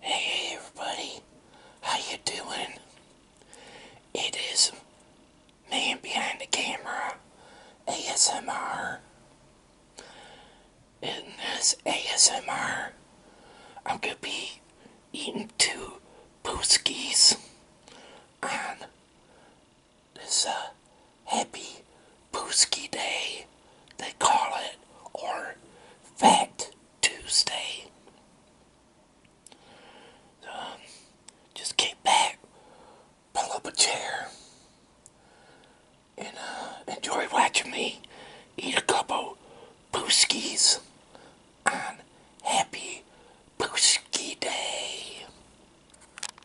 Hey everybody, how you doing? It is man behind the camera, ASMR. In this ASMR, I'm gonna be eating two pooskies and this uh, Happy Pooski Day, they call it, or Fat Tuesday. Um, just kick back, pull up a chair, and uh, enjoy watching me eat a couple Pooskies on Happy Pooski Day.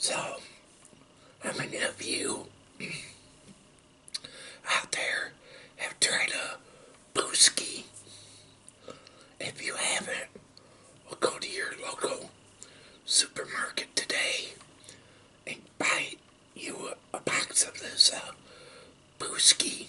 So, how many of you out there have tried a brewski, if you haven't, I'll go to your local supermarket today and buy you a, box of this uh, brewski.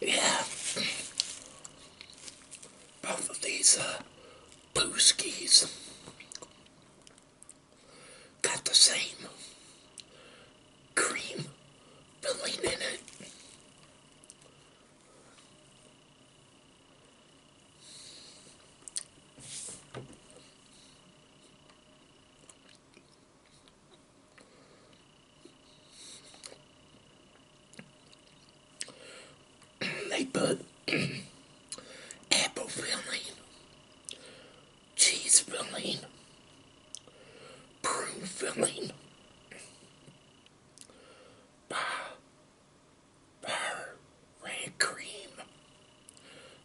Yeah. Both of these uh, booskies got the same cream filling in it they put apple filling, cheese filling, prune filling, uh, bar red cream.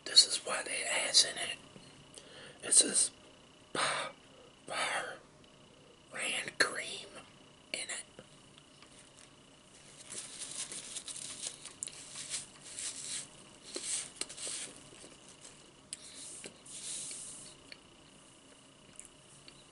This is what they has in it. It says bar, bar ran cream in it.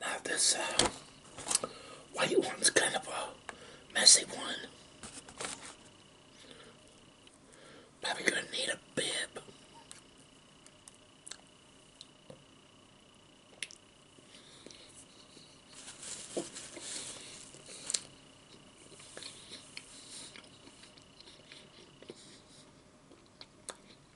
Now this uh, white one's kind of a messy one. Probably gonna need a bib.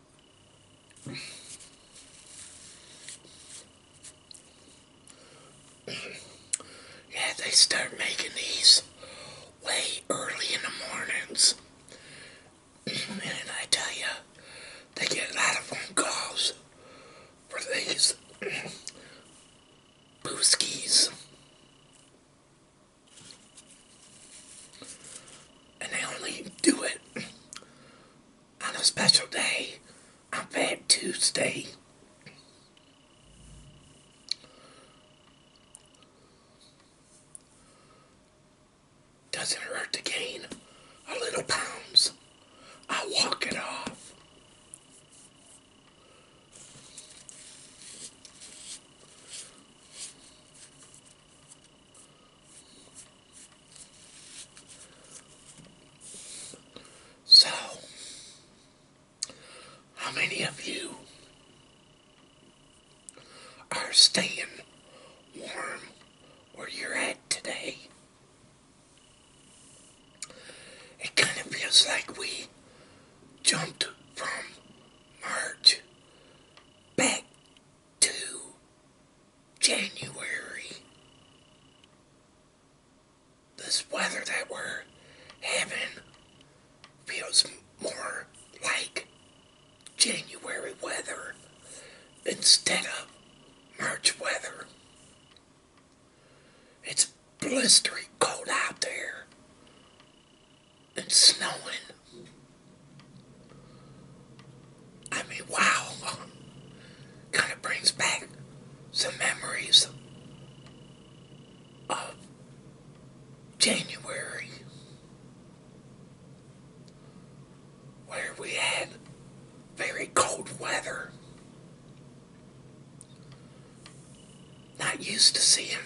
yeah, they start making these way early in the mornings. and I tell you, they get a lot of calls for these booskies. And they only do it on a special day on Fat Tuesday. Doesn't hurt to gain a little pounds. I walk it off. So, how many of you are staying warm where you're at today? It kind of feels like we jumped from March back to January. This weather that we're having feels more like January weather instead of March weather. It's blistering cold out there. It's snowing. I mean, wow. Kind of brings back some memories of January where we had very cold weather not used to seeing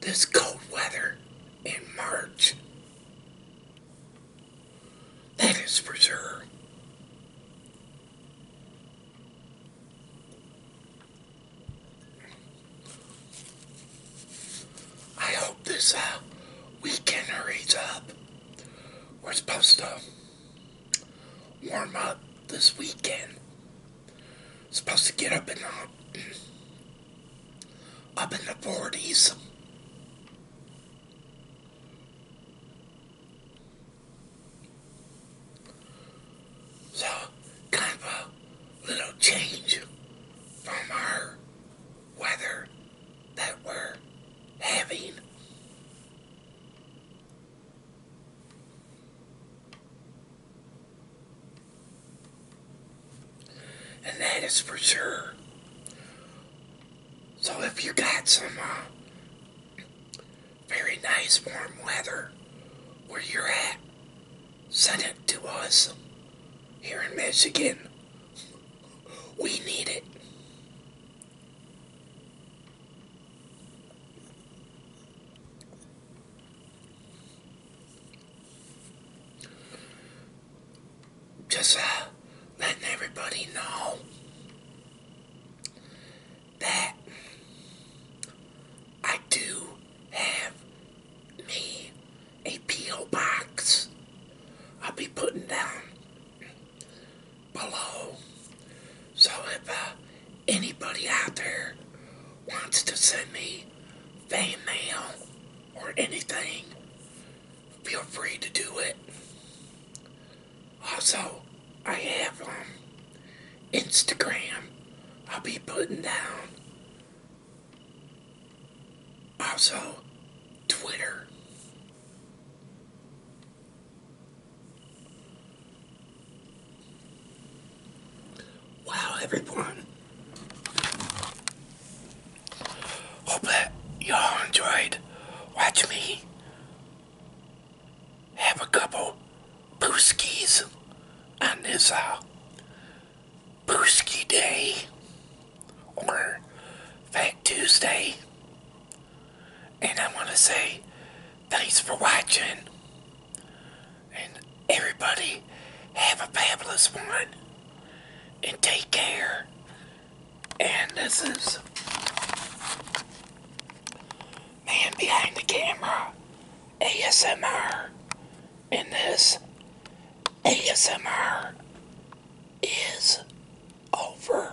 this cold weather in March. That is for sure. I hope this uh, weekend hurries up. We're supposed to warm up this weekend. Supposed to get up in the up in the forties. So kind a little change from our weather that we're having. And that is for sure. So if you got some uh, very nice warm weather where you're at, send it to us here in Michigan. We need it. Just uh, letting everybody know that I do have me a P.O. box. I'll be putting down below so if uh, anybody out there wants to send me fan mail or anything, feel free to do it. Also, I have um, Instagram. I'll be putting down. Also, Twitter. Wow, everyone. Hope that y'all enjoyed watching me have a couple brewskis on this uh, brewski day or Fat Tuesday. And I want to say Thanks for watching. And everybody, have a fabulous one. And take care. And this is Man Behind the Camera ASMR. And this ASMR is over.